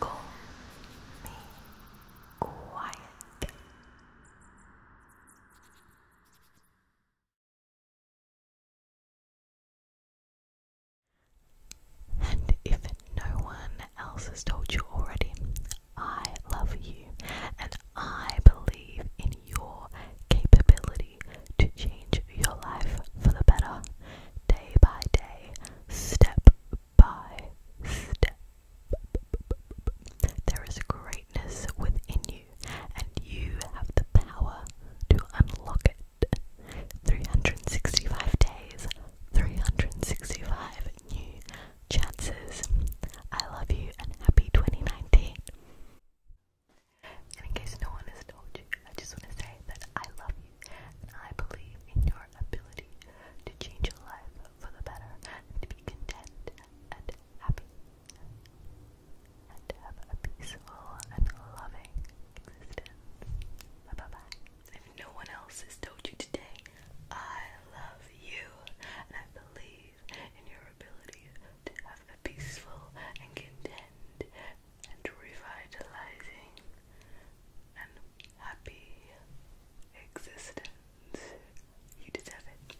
Call me quiet. And if no one else has told you already, I love you and I believe in your capability to change your life for the better day by day, step by step. There is greatness within you, and you have the power to unlock it. 365 days, 365 new chances. I love you and happy 2019 in case no one has told you, I just want to say that I love you and I believe in your ability to change your life for the better and to be content and happy and have a peaceful and loving existence. Bye bye bye. If no one else has told you today, I love you and I believe in your ability to have a peaceful and content and revitalizing and happy existence. You deserve it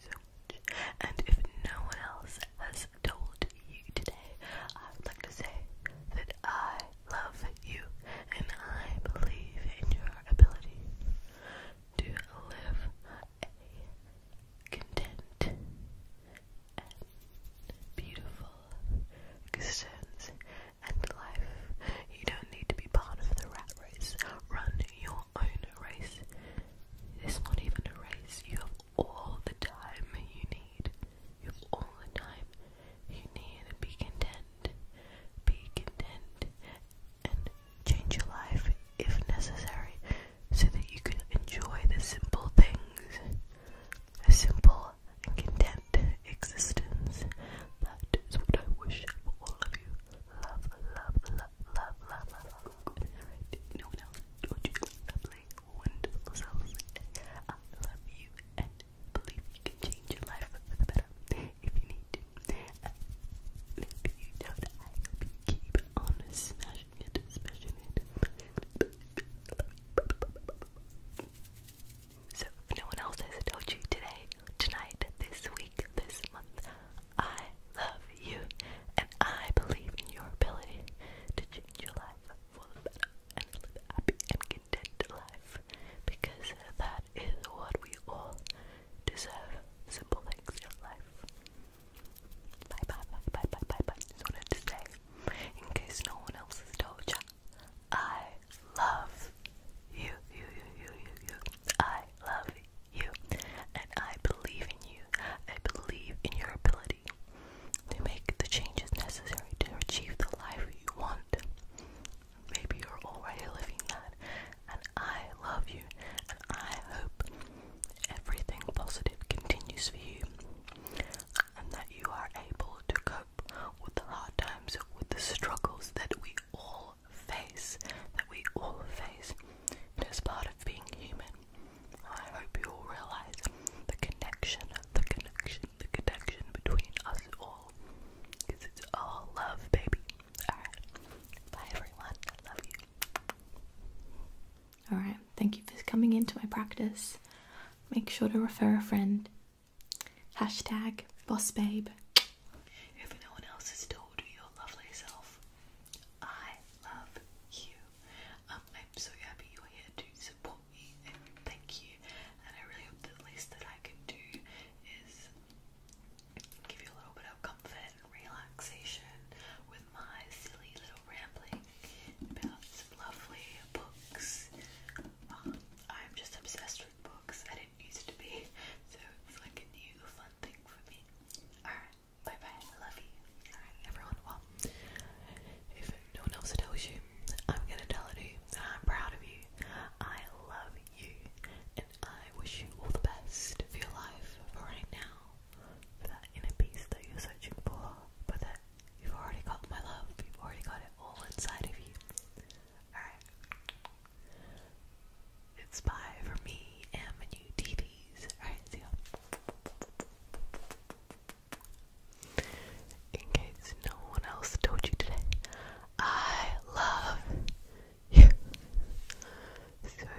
so much. And if no one else has told you today, I would like to say that I love you and I believe in your ability to live a content and beautiful existence and life. You don't need to be part of the rat race. Run your own race. This It's not even a race. You have all the time you need. You have all the time you need. Be content. Be content and change your life if necessary so that you can enjoy the simple things. A simple and content existence. That is what I wish for all of you. Love, love, love, love, love, love. Alright, no one else. Don't you lovely, wonderful souls. I love you and believe you can change your life for the better if you need to. So, if no one else has told you today, tonight, this week, this month, I love you and I believe in your ability to change your life for the better and live a happy and life because that is what we all deserve. Simple things in life. Bye wanted to say, in case no one else has told I love you, you, you, you, you. I love you, and I believe in you. I believe in your ability to make the changes necessary to achieve the life you want. Maybe you're already living that, and I love you, and I hope everything positive continues for you, and that you are able to cope with the hard times, with the struggles that we all face, that we all face. as part of being human. I hope you all realize the connection, the connection, the connection between us all. Because it's all love, baby. Alright. Bye everyone. I love you. Alright. Thank you for coming into my practice. Make sure to refer a friend. Hashtag boss babe. If no one else has told your lovely self, I love you. Um, I'm so happy you're here to support me and thank you. And I really hope the least that I can do is give you a little bit of comfort and relaxation with my silly little rambling about some lovely books. Um, I'm just obsessed with books. I didn't used to be, so it's like a new fun thing for me. Alright, bye bye. I love you. Alright, everyone. Well, if no one else tells you, I'm gonna tell it to you I'm proud of you. I love you. I wish you all the best for your life for right now, for that inner peace that you're searching for, but that you've already got my love, you've already got it all inside of you. Alright. It's bye for me and my new TVs. Alright, see ya. In case no one else told you today, I love so,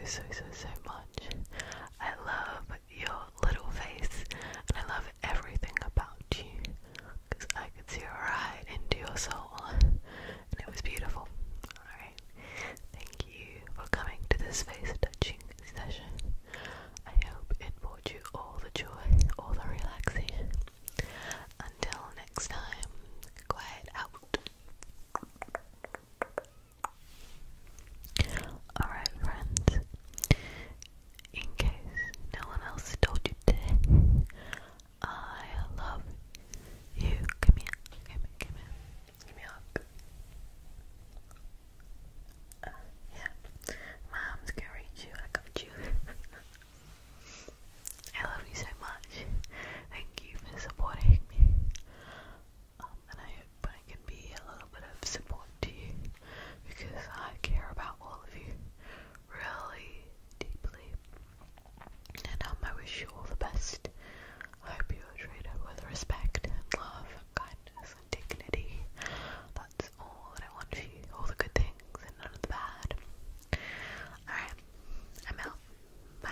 so, so, so much. I love your little face and I love everything about you because I could see right into your soul and it was beautiful. Alright, thank you for coming to this face touching session. I hope it brought you all the joy, all the relaxation, until next time, quiet out. Alright, friends, in case no one else told you today, I love you. Come here, come here, come here. Give me uh, yeah, my arms you. I got you. I love you so much. Thank you for supporting me. Um, and I hope I can be a little bit of support to you because I care about all of you really deeply. And um, I wish you all the best. I hope you are treated with respect love kindness and dignity. That's all I want for you. All the good things and none of the bad. Alright, I'm out. Bye.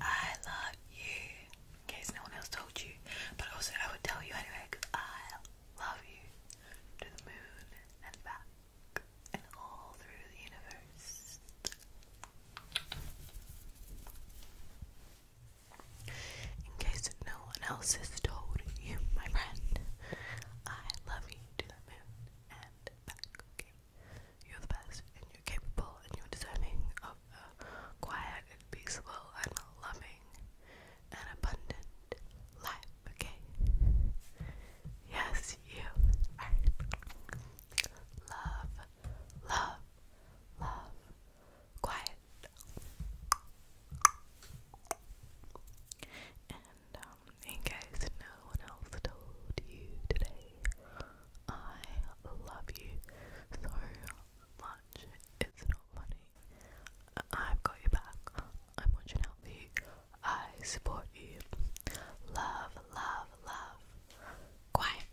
I love you. In case no one else told you, but also I would tell you anyway I Love you to the moon and back and all through the universe. In case no one else has told you, my friend, I love you to the moon and back, You're the best and you're capable and you're deserving of a quiet and peaceful and loving an abundant life, okay? Yes, you Love, love, love. Quiet. And um, in case no one else told you today, I love you so much. It's not out, I've got your back. I'm watching out for you. I support you. Love, love, love. Quiet.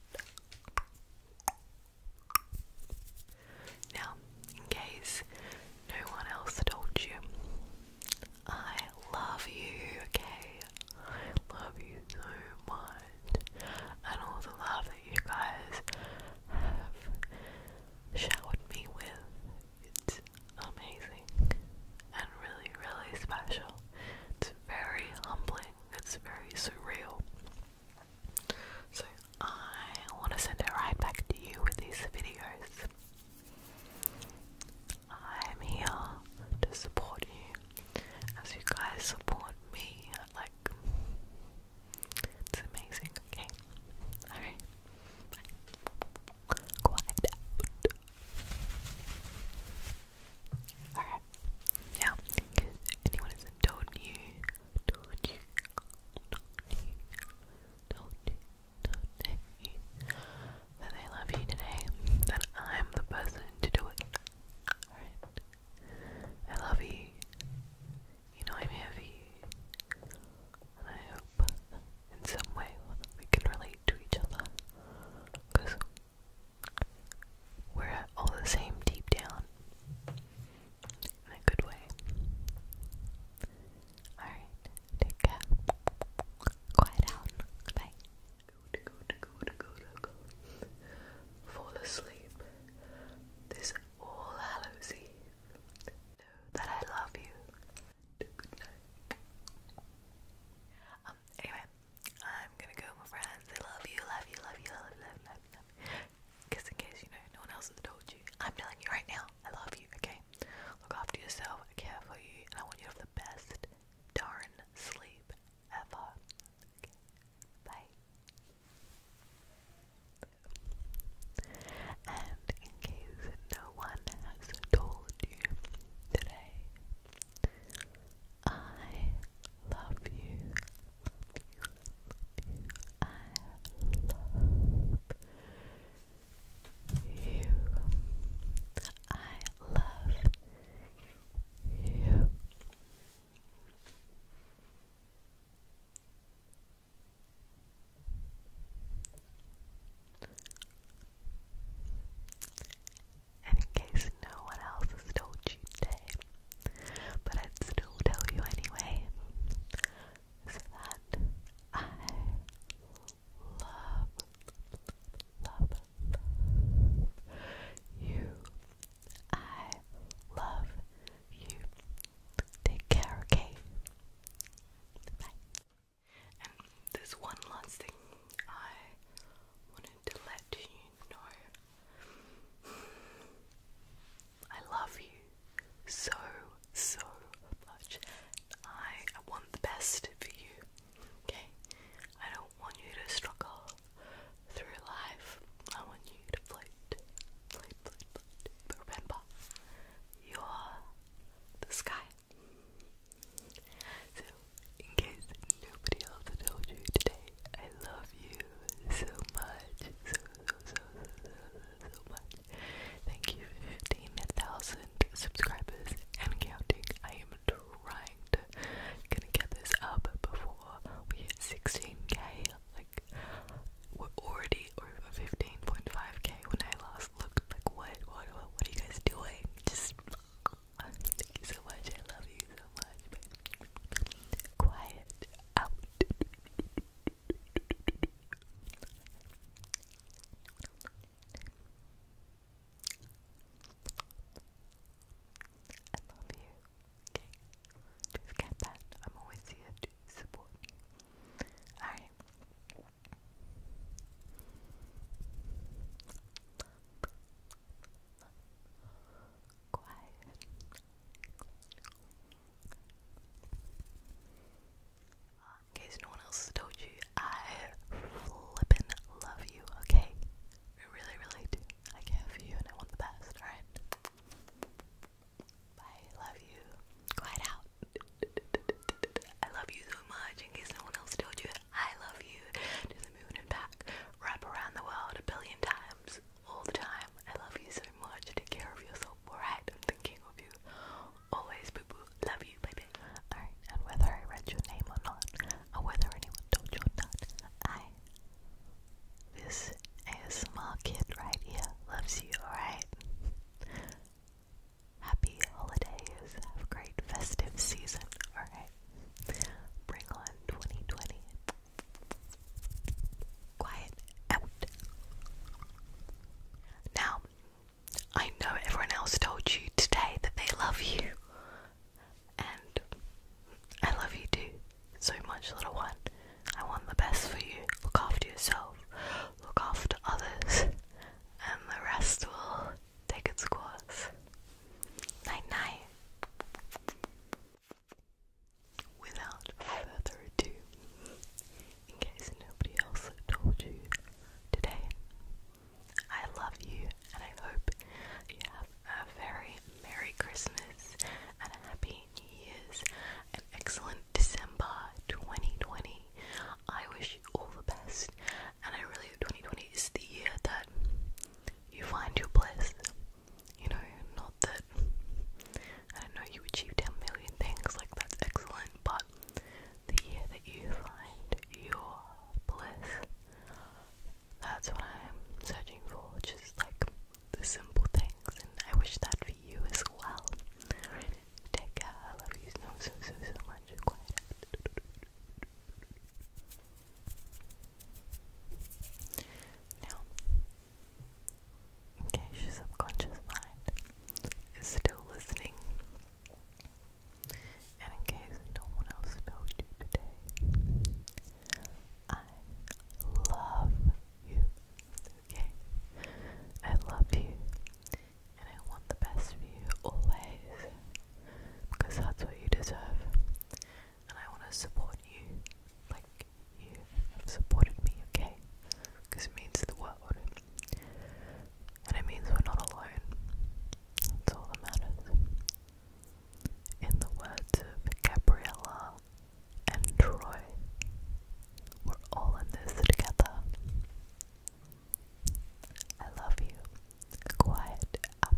Now, in case no one else told you, I love you, okay? I love you so much. And all the love that you guys have showered me with. It's amazing and really, really special. It's very humbling, it's very surreal. So, I want to send it right back to you with these videos. I'm here to support you as you guys support me. Like, it's amazing. Okay. Alright. Quiet out. Alright. Now, anyone has told you, told you, told you, told you, told you that they love you today, that I'm the person to do it. Alright. I love you. You know I'm here I hope in some way we can relate to each other. Because we're all the same deep down. In a good way. Alright, take care. Quiet down. Bye. Go to go to go to go to go. Fall asleep. This All Hallows Eve that I love you. Um, anyway, I'm gonna go, my friends. I love you, love you, love you, love you, love you, love you, Because in case you know, no one else has told you, I'm telling you right now, I love you, okay? Look after yourself, care for you, I want you to have the best darn sleep ever. Bye. And in case no one has told you today, I love you. I love you. I love you. I love you. And in case no one else has told you today, but I'd still tell you anyway, that I love, love you. I love you. Take care, okay? Bye. And there's one last thing I wanted to let you know. I love you so, so much. I want the best for you, okay? I don't want you to struggle through life, I want you to float, float, float, float. remember, you are the sky. So, in case nobody else told you today, I love you so much, so, so, so, so, so much. Thank you for 15,000 subscribers and counting. I am trying to gonna get this up before we hit 16k. Like, we're already over 15.5k when I last looked. Like, what, what, what are you guys doing? Just thank you so much. I love you so much. Quiet out. I love you. Okay? Just get that. I'm always here to support you. Alright. Quiet. In case no one else has told you, I flippin' love you, okay? I really, really do. I care for you and I want the best, alright? Bye, love you. Quiet out. I love you so much. In case no one else told you, I love you to the moon and back. Wrap around the world a billion times, all the time. I love you so much. Take care of yourself, alright? I'm thinking of you. Always, boo boo. Love you, baby. Alright, and whether I read your name or not, or whether anyone told you or not, I this ASMR kid right here loves you, alright? Happy holidays, have a great festive season, alright? Bring on 2020. Quiet Now, I know everyone else told you today that they love you, and I love you too so much, little one. I want the best for you. Look after yourself, look after others, and the rest will take its course. Night night. Without further ado, in case nobody else told you today, I love you and I hope you have a very Merry Christmas and a Happy New Year's, an excellent December 2020. I wish you all the best, and I really hope 2020 is the year that you find your bliss. You know, not that I don't know you achieve 10 million things, like that's excellent, but the year that you find your bliss. That's what I'm searching for, just like the simple things, and I wish that for you as well. take care, love you so, so, so, much. Now, in your subconscious mind is still listening, and in case no one else knows you today, I love you. Okay? I love you. And I want the best for you always. Because that's what you deserve. And I want to support you like you have supported me, okay? Because it means the world. And it means we're not alone. That's all that matters in the words Gabriella and Troy, we're all in this together. I love you. Quiet out.